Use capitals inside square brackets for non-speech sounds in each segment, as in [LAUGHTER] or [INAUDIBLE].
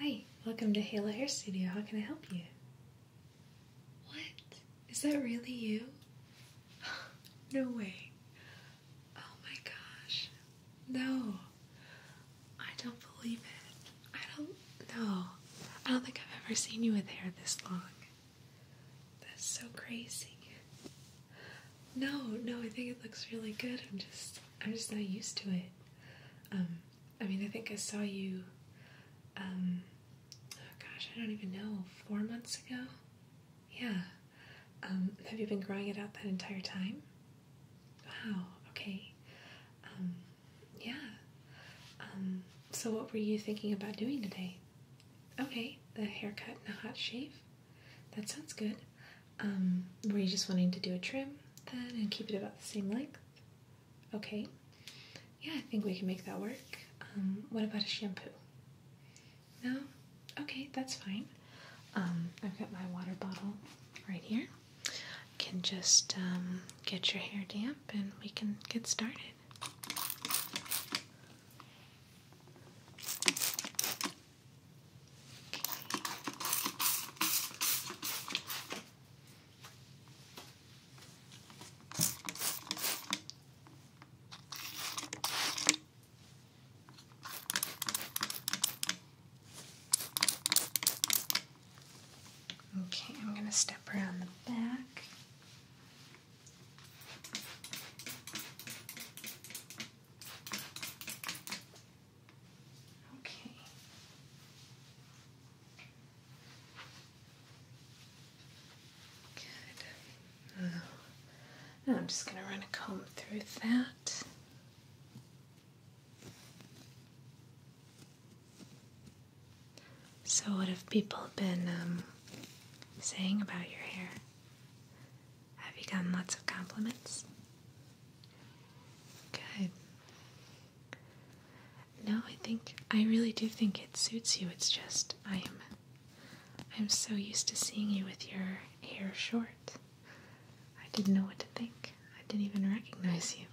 Hi, welcome to Halo Hair Studio. How can I help you? What? Is that really you? [GASPS] no way. Oh my gosh. No. I don't believe it. I don't know. I don't think I've ever seen you with hair this long. That's so crazy. No, no, I think it looks really good. I'm just I'm just not used to it. Um, I mean I think I saw you um, oh gosh, I don't even know, four months ago? Yeah. Um, have you been growing it out that entire time? Wow, okay. yeah. so what were you thinking about doing today? Okay, the haircut and a hot shave. That sounds good. Um, were you just wanting to do a trim then and keep it about the same length? Okay. Yeah, I think we can make that work. Um, what about a shampoo? No? Okay, that's fine. Um, I've got my water bottle right here. can just um, get your hair damp and we can get started. Okay, I'm going to step around the back. Okay. Good. I'm just going to run a comb through that. So, what have people been um, saying about your hair? Have you gotten lots of compliments? Good. No, I think I really do think it suits you. It's just I am I'm so used to seeing you with your hair short. I didn't know what to think. I didn't even recognize you.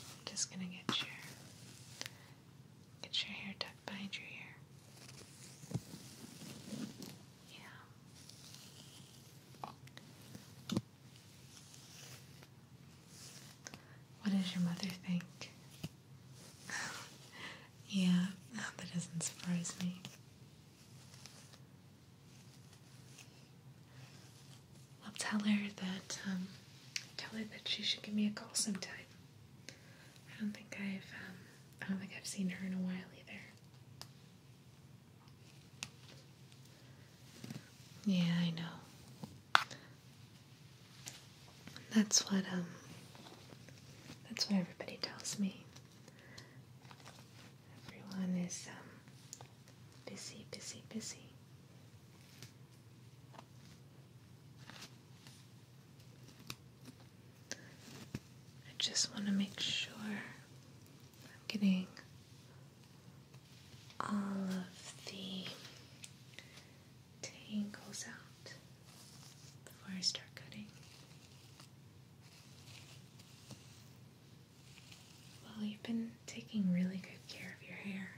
I'm just gonna get your get your hair tucked behind your ear. Yeah. What does your mother think? [LAUGHS] yeah, that doesn't surprise me. I'll tell her that um, tell her that she should give me a call sometime. I don't think I've um, I don't think I've seen her in a while either. Yeah, I know. That's what um that's what everybody tells me. Everyone is um, busy, busy, busy. I just want to make sure I'm getting all of the tangles out before I start cutting. Well, you've been taking really good care of your hair.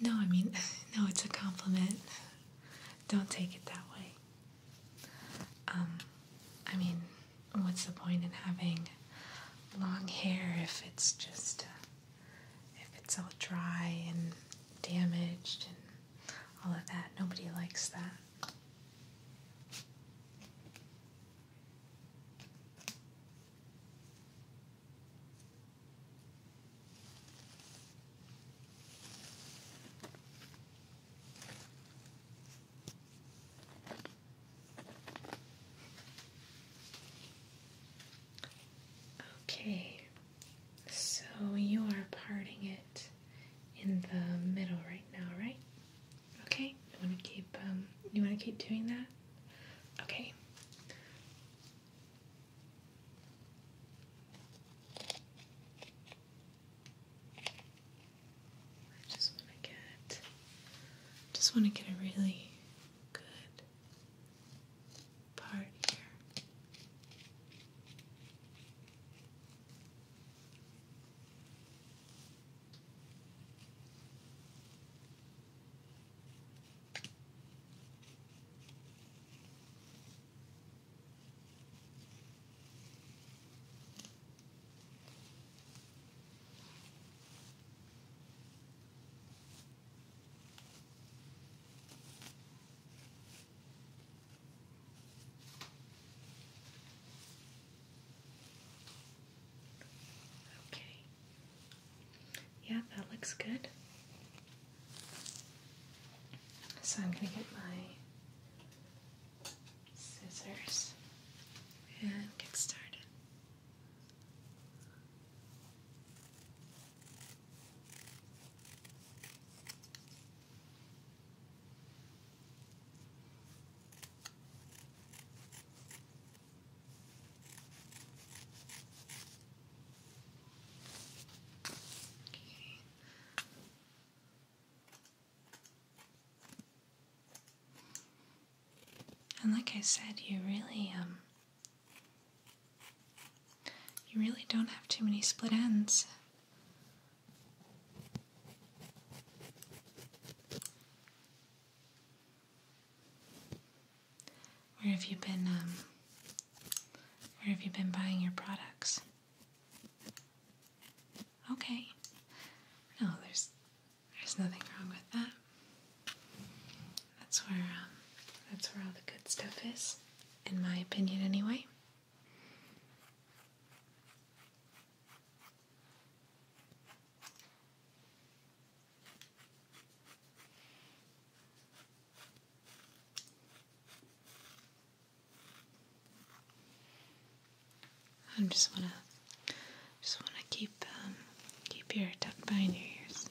No, I mean, [LAUGHS] no, it's a compliment. Don't take it that way. Um, I mean, what's the point in having long hair if it's just uh, if it's all dry and damaged and all of that. Nobody likes that. Okay, so you are parting it in the middle right now, right? Okay. You want to keep um, you want to keep doing that? Okay. I just want to get just want to get a really good part here. Okay. Yeah, that looks good. So I'm going to get my scissors and get started. And like I said, you really um you really don't have too many split ends. Where have you been, um, where have you been buying your products? Okay. No, there's there's nothing wrong with that. That's where um, that's where all the good stuff is, in my opinion, anyway. I'm just wanna just wanna keep um, keep your tucked behind your ears.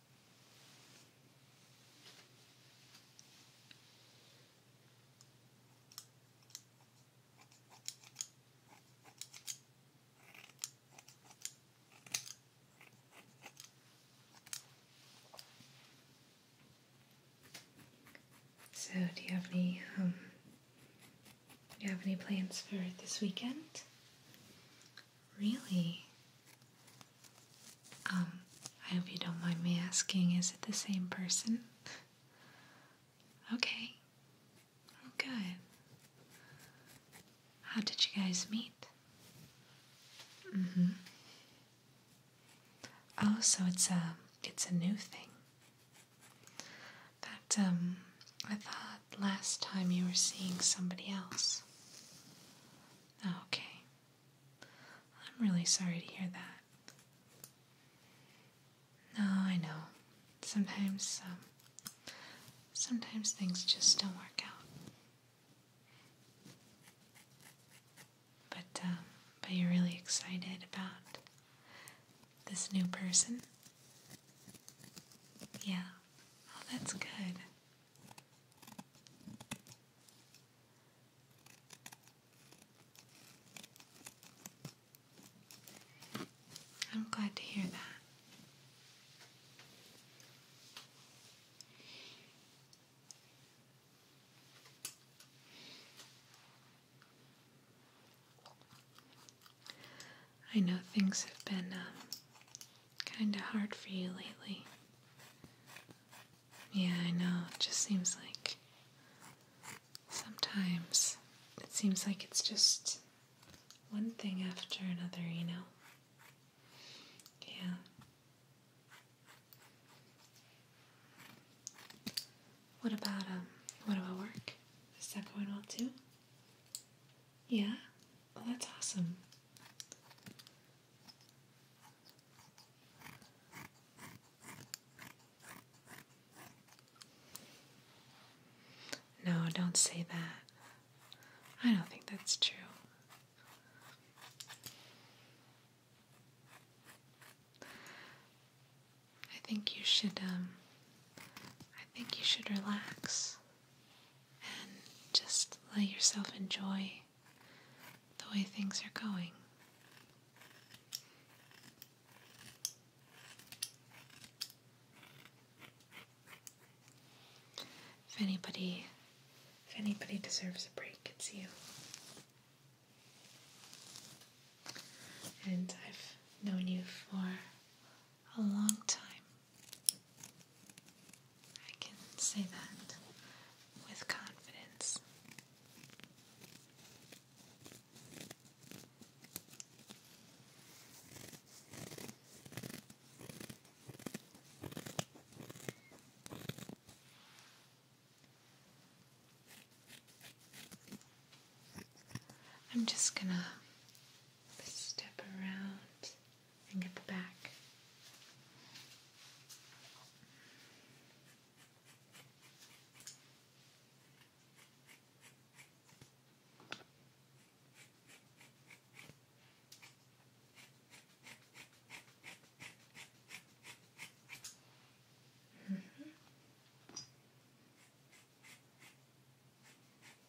So, do you have any um, do you have any plans for this weekend? Really? Um, I hope you don't mind me asking, is it the same person? okay. good. How did you guys meet? Mm hmm. Oh, so it's a, uh, it's a new thing. That, um, I thought last time you were seeing somebody else? Oh, okay. I'm really sorry to hear that. No, I know. Sometimes, um, sometimes things just don't work out. But, um, but you're really excited about this new person? Yeah. Oh, that's good. I'm glad to hear that. I know things have been um, kind of hard for you lately. Yeah, I know. It just seems like sometimes it seems like it's just one thing after another, you know? Yeah. What about um what about work? Is that going well too? Yeah? that's awesome. No, don't say that. I don't think that's true. I think you should, um, I think you should relax and just let yourself enjoy the way things are going. If anybody if anybody deserves a break, it's you. And I've known you for a long time. I can say that with confidence. I'm just gonna step around and get the back. Mm -hmm.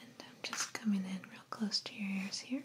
And I'm just coming in real close to your ears here.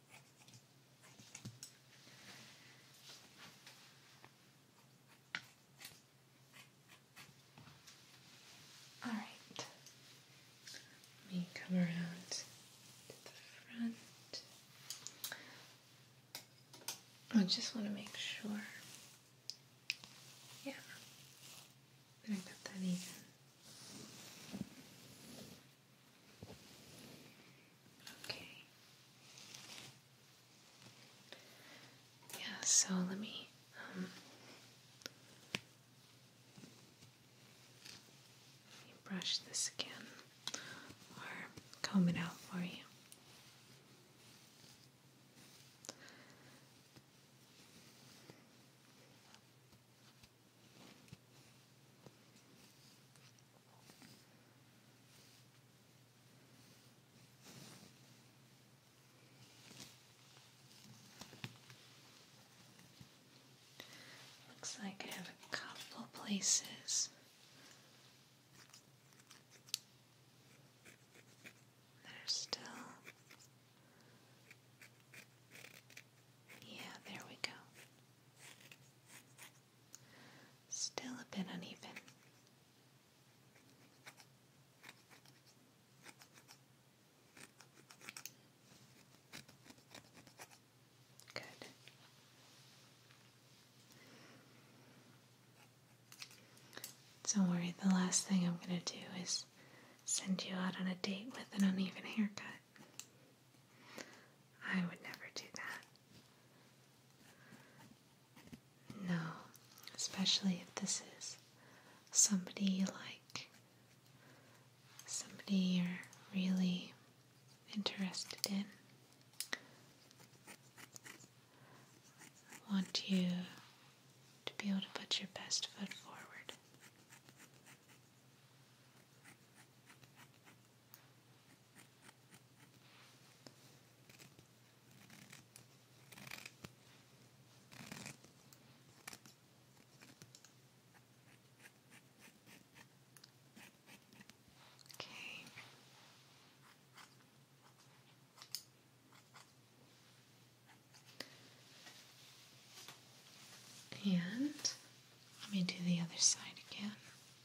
All right. Let me come around to the front. I just want to make sure. Yeah. That that even. Okay. Yeah, so let me um, let me brush this again or comb it out for you. Looks like I have a couple places that are still. Yeah, there we go. Still a bit uneven. Good. Don't worry, the last thing I'm going to do is send you out on a date with an uneven haircut. I would never do that. No, especially if this is somebody you like, somebody you're really interested in. want you to be able to put your best foot forward. Okay. And let me do the other side again.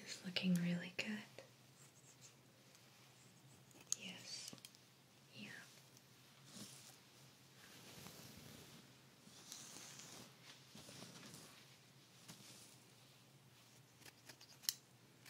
It's looking really good. Yes. Yeah.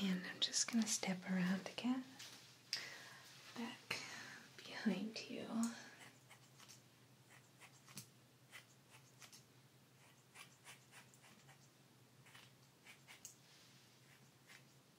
And I'm just going to step around again, back behind you.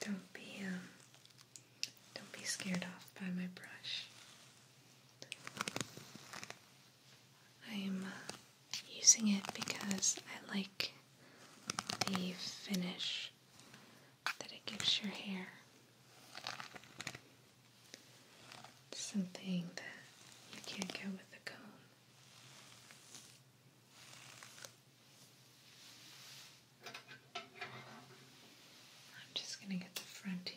Don't be um, don't be scared off by my brush. I am uh, using it because I like the finish that it gives your hair something that you can't get with a comb. I'm just going to get the front here.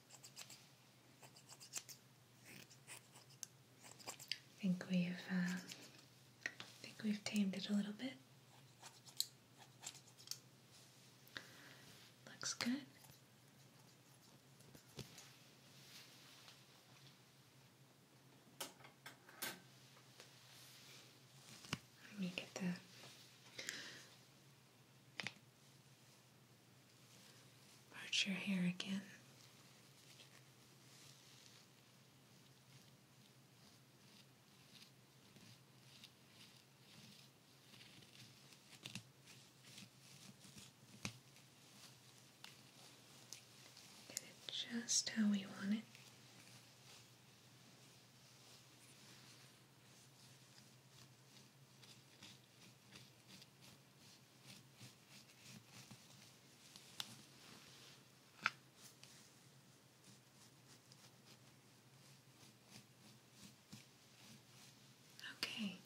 I think we've, I uh, think we've tamed it a little bit. Looks good. Let me get the Part your hair again. Get it just how we want it. Okay.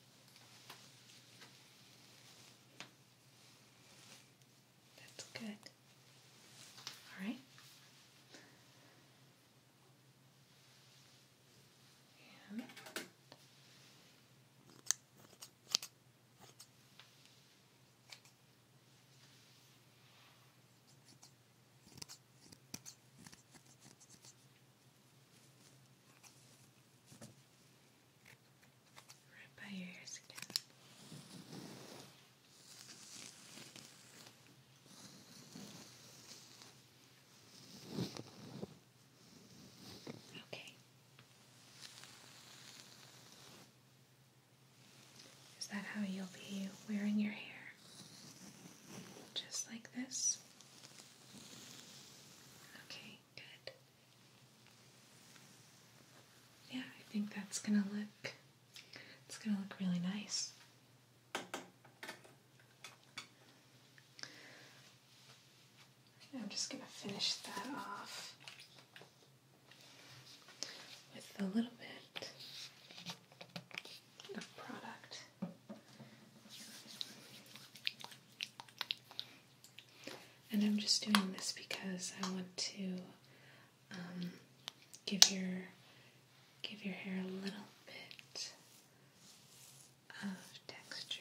That's good. All right. And right by your ears again. Okay. Is that how you'll be wearing your hair? Just like this? Okay, good. Yeah, I think that's gonna look it's gonna look really nice. I'm just going to finish that off with a little bit of product. And I'm just doing this because I want to um, give your give your hair a little bit of texture.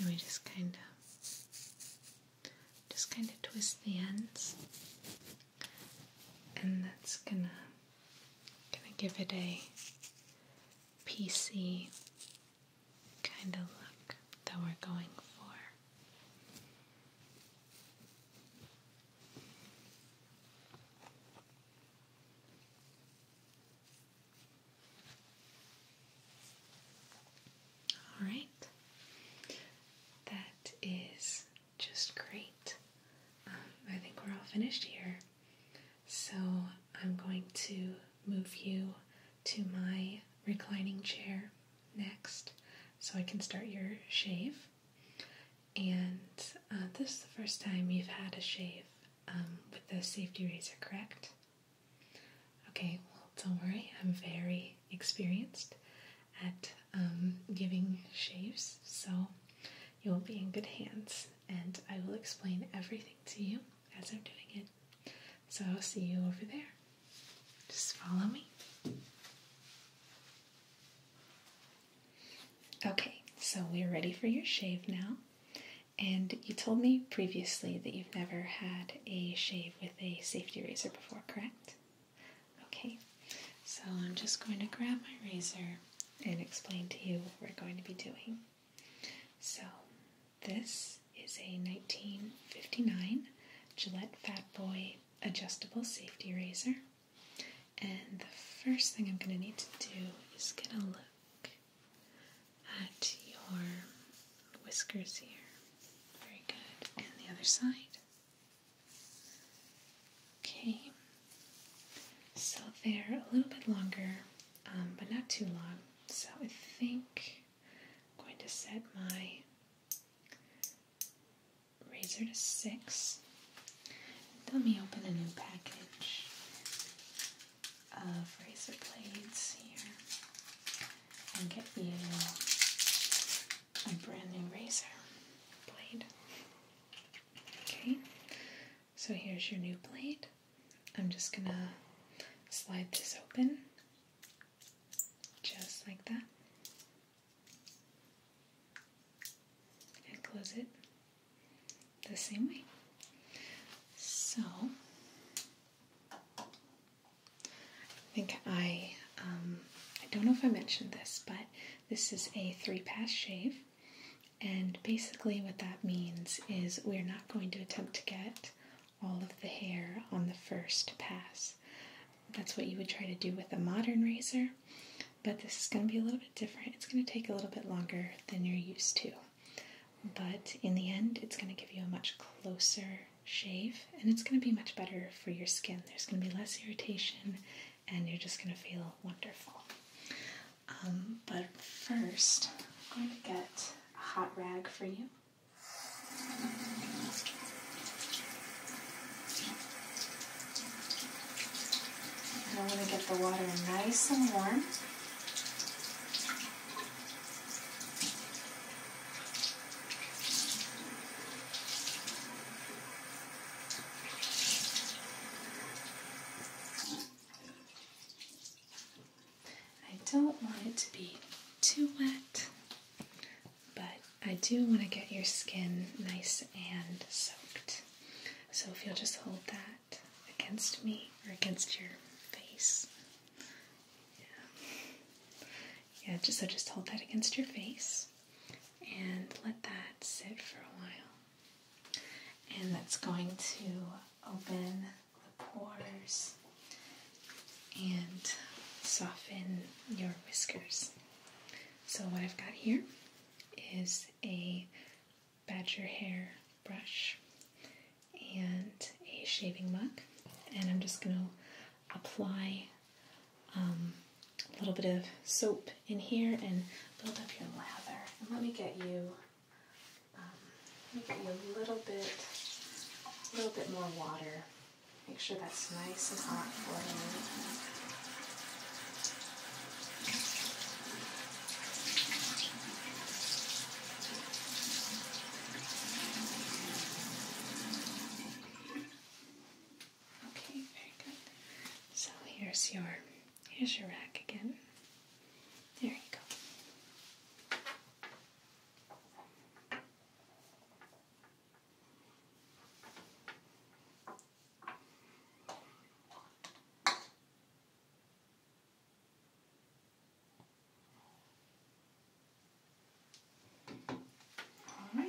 And we just kind of, just kind of twist the ends, and that's gonna, gonna give it a PC kind of look that we're going for. All right, that is just great. Um, I think we're all finished here. So I'm going to move you to my reclining chair next so I can start your shave. And uh, this is the first time you've had a shave um, with the safety razor, correct? Okay, well, don't worry, I'm very experienced at um, giving shaves, so you'll be in good hands and I will explain everything to you as I'm doing it. So I'll see you over there. Just follow me. Okay, so we're ready for your shave now. And you told me previously that you've never had a shave with a safety razor before, correct? Okay, so I'm just going to grab my razor and explain to you what we're going to be doing. So, this is a 1959 Gillette Fat Boy adjustable safety razor. And the first thing I'm going to need to do is going to look at your whiskers here. Very good. And the other side. Okay, so they're a little bit longer, um, but not too long. So I think I'm going to set my razor to six. Let me open a new package of razor blades here and get you a brand new razor blade. Okay, so here's your new blade. I'm just gonna slide this open just like that and close it the same way. So I think I um, I don't know if I mentioned this, but this is a three pass shave. And basically, what that means is we're not going to attempt to get all of the hair on the first pass. That's what you would try to do with a modern razor, but this is going to be a little bit different. It's going to take a little bit longer than you're used to, but in the end, it's going to give you a much closer shave and it's going to be much better for your skin. There's going to be less irritation and you're just going to feel wonderful. Um, but first, I'm going to get a hot rag for you. And I'm going to get the water nice and warm. I don't want it to be too wet, but I do want to get your skin nice and soaked. So if you'll just hold that against me or against your face. Yeah, yeah so just hold that against your face and let that sit for a while and that's going to open the pores and soften your whiskers. So, what I've got here is a badger hair brush and a shaving mug, and I'm just going to apply um, a little bit of soap in here and build up your lather. And let me get you, um, let me get you a little bit, a little bit more water. Make sure that's nice and hot for you. Okay, very good. So here's your Here's your rack again. There you go. All right.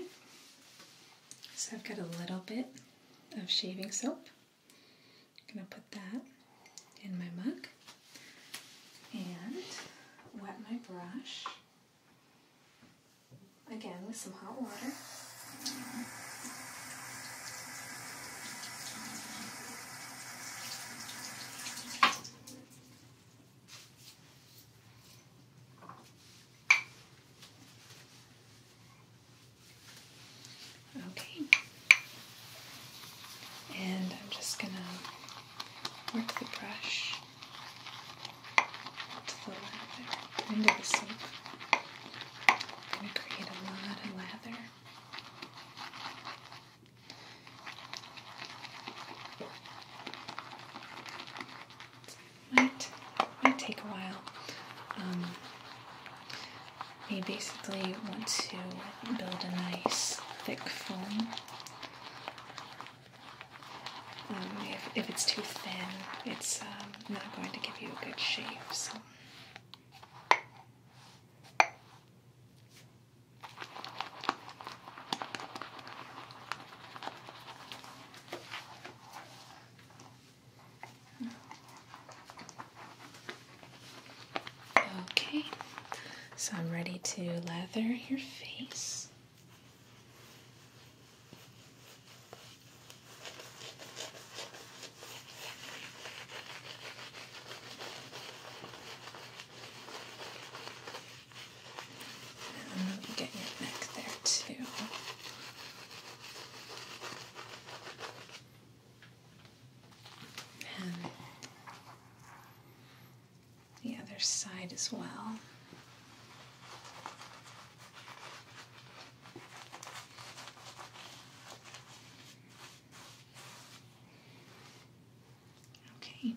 So I've got a little bit of shaving soap. I'm going to put that in my mug and wet my brush again with some hot water. Okay. And I'm just going to work the brush to the lather, into the soap. I'm going to create a lot of lather. might, might take a while. Um, we basically want to build a nice thick foam. Um, if, if it's too thin, it's um, not going to give you a good shape. So. Okay, so I'm ready to lather your face. And get your neck there too and the other side as well. Okay.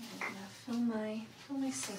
I'm gonna fill my fill my sink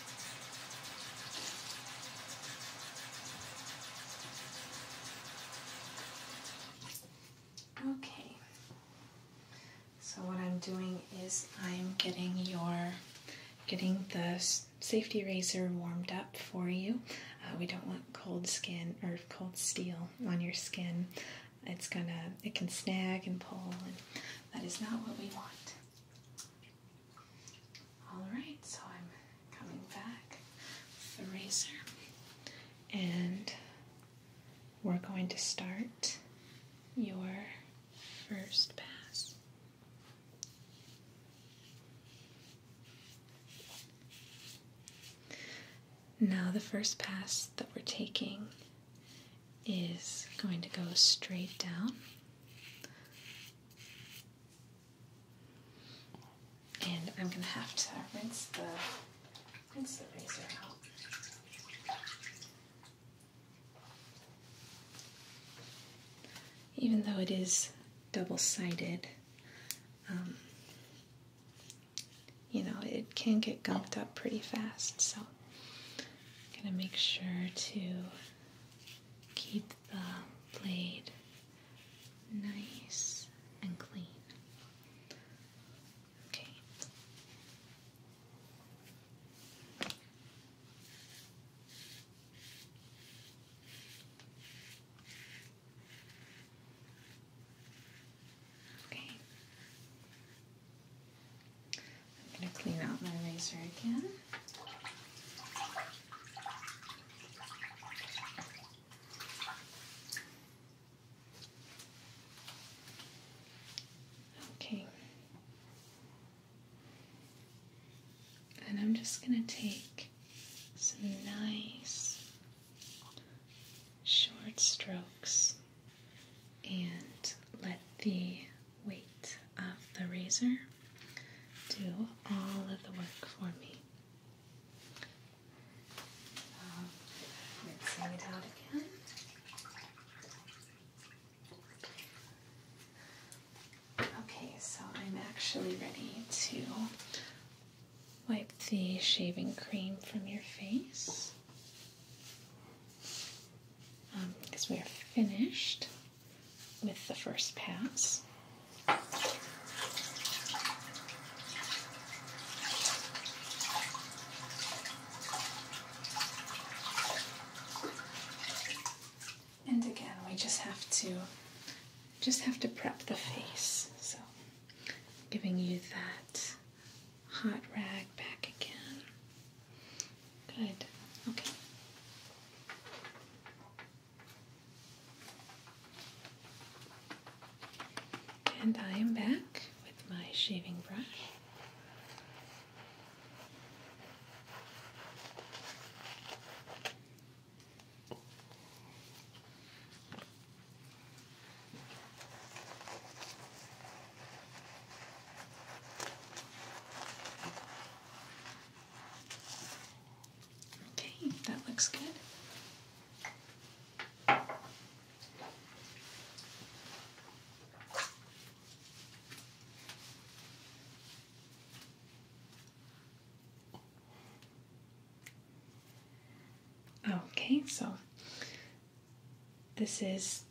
Okay, so what I'm doing is I'm getting your getting the safety razor warmed up for you. Uh, we don't want cold skin or cold steel on your skin. It's gonna it can snag and pull, and that is not what we want. Alright, so I'm coming back with the razor and we're going to start your first pass. Now, the first pass that we're taking is going to go straight down and I'm going to have to rinse the, rinse the razor out. Even though it is double-sided, um, you know, it can get gumped up pretty fast, so I'm going to make sure to keep the blade nice and clean. Okay. Okay. I'm going to clean out my razor again. Okay. And I'm just going to take some nice short strokes and let the weight of the razor do all of the work for me. Um, okay, so I'm actually ready to wipe the shaving cream from your face because um, we are finished with the first pass. And again, we just have to just have to prep the face. So, giving you that hot rag back again. Good. Okay. And I am back with my shaving brush. Okay, that looks good. Okay, so this is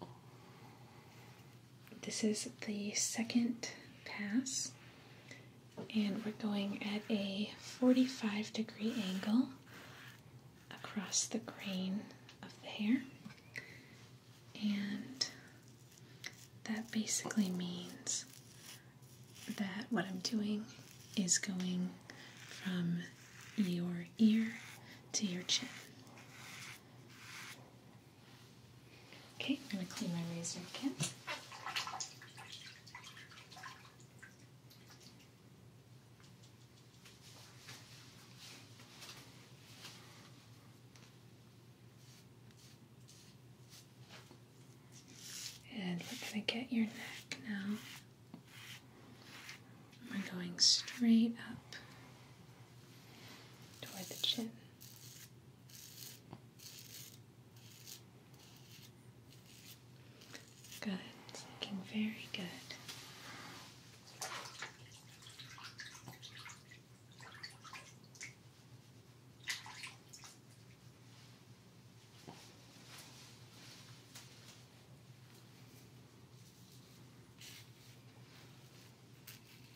this is the second pass, and we're going at a 45 degree angle across the grain of the hair. And that basically means that what I'm doing is going from your ear to your chin. Okay, I'm going to clean my razor again. And we're going to get your neck now. We're going straight up toward the chin. Good. It's looking very good.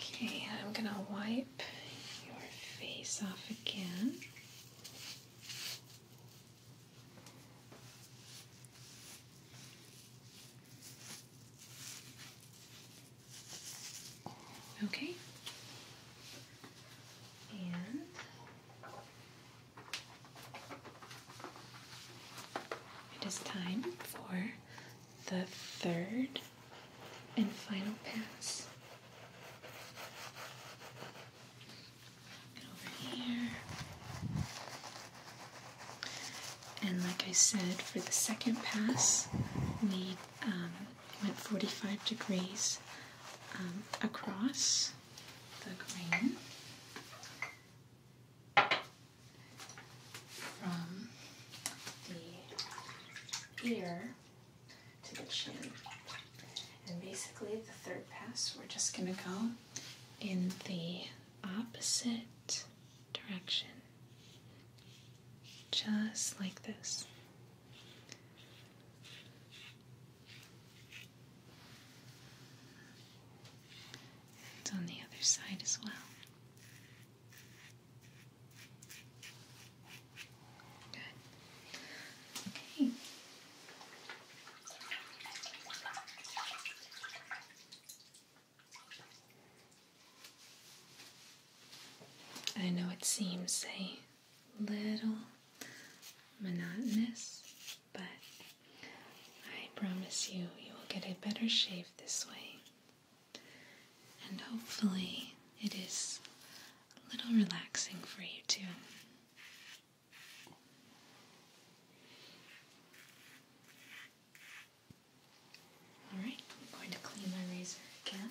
Okay, I'm gonna wipe your face off again. Okay. And it is time for the third and final pass. Get over here. And like I said, for the second pass, we um, went 45 degrees um, across the green from the ear to the chin. And basically, the third pass, we're just going to go in the opposite direction, just like this. And on the other side as well. I know it seems a little monotonous, but I promise you, you will get a better shave this way and hopefully, it is a little relaxing for you too. Alright, I'm going to clean my razor again.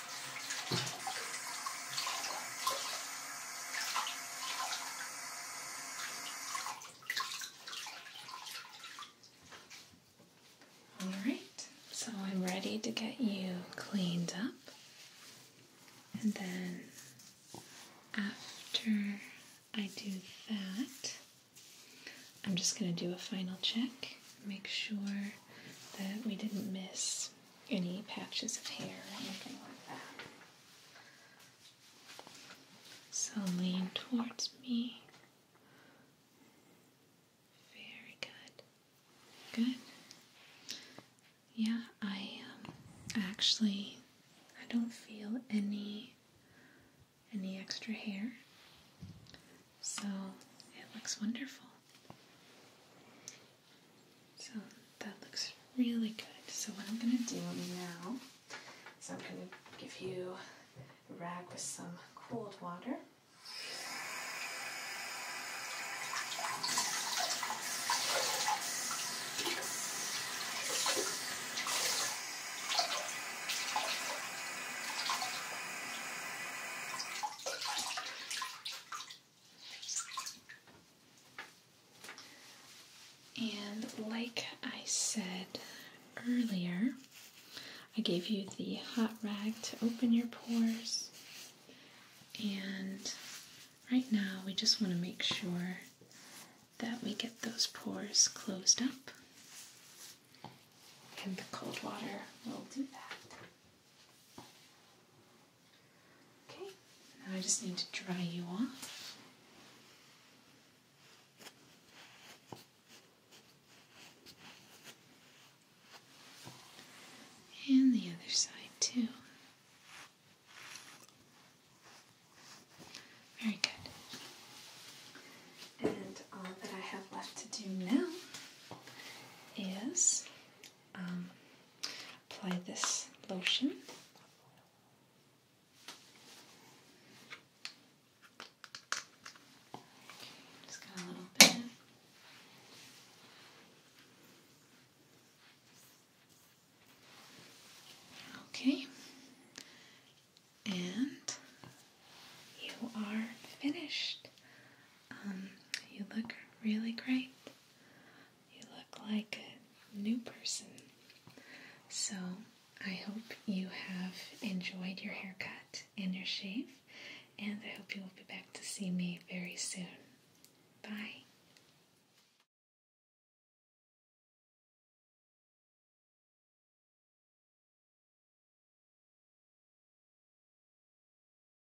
All right, so I'm ready to get you cleaned up, and then after I do that, I'm just going to do a final check, make sure that we didn't miss any patches of hair or anything like that. So lean towards me. Very good. Good. Yeah, I um, actually I don't feel any any extra hair. So it looks wonderful. So that looks really good. So what I'm going to do now is I'm going to give you a rag with some cold water. And like I said earlier, I gave you the hot rag to open your pores. And right now, we just want to make sure that we get those pores closed up. And the cold water will do that. Okay, now I just need to dry you off. And the other side, too. Very good. And all that I have left to do now is um, apply this lotion. Just got a little bit. Okay, and you are finished. Um, you look really great. You look like a new person. So, I hope you have enjoyed your haircut and your shave, and I hope you will be back to see me very soon. Bye.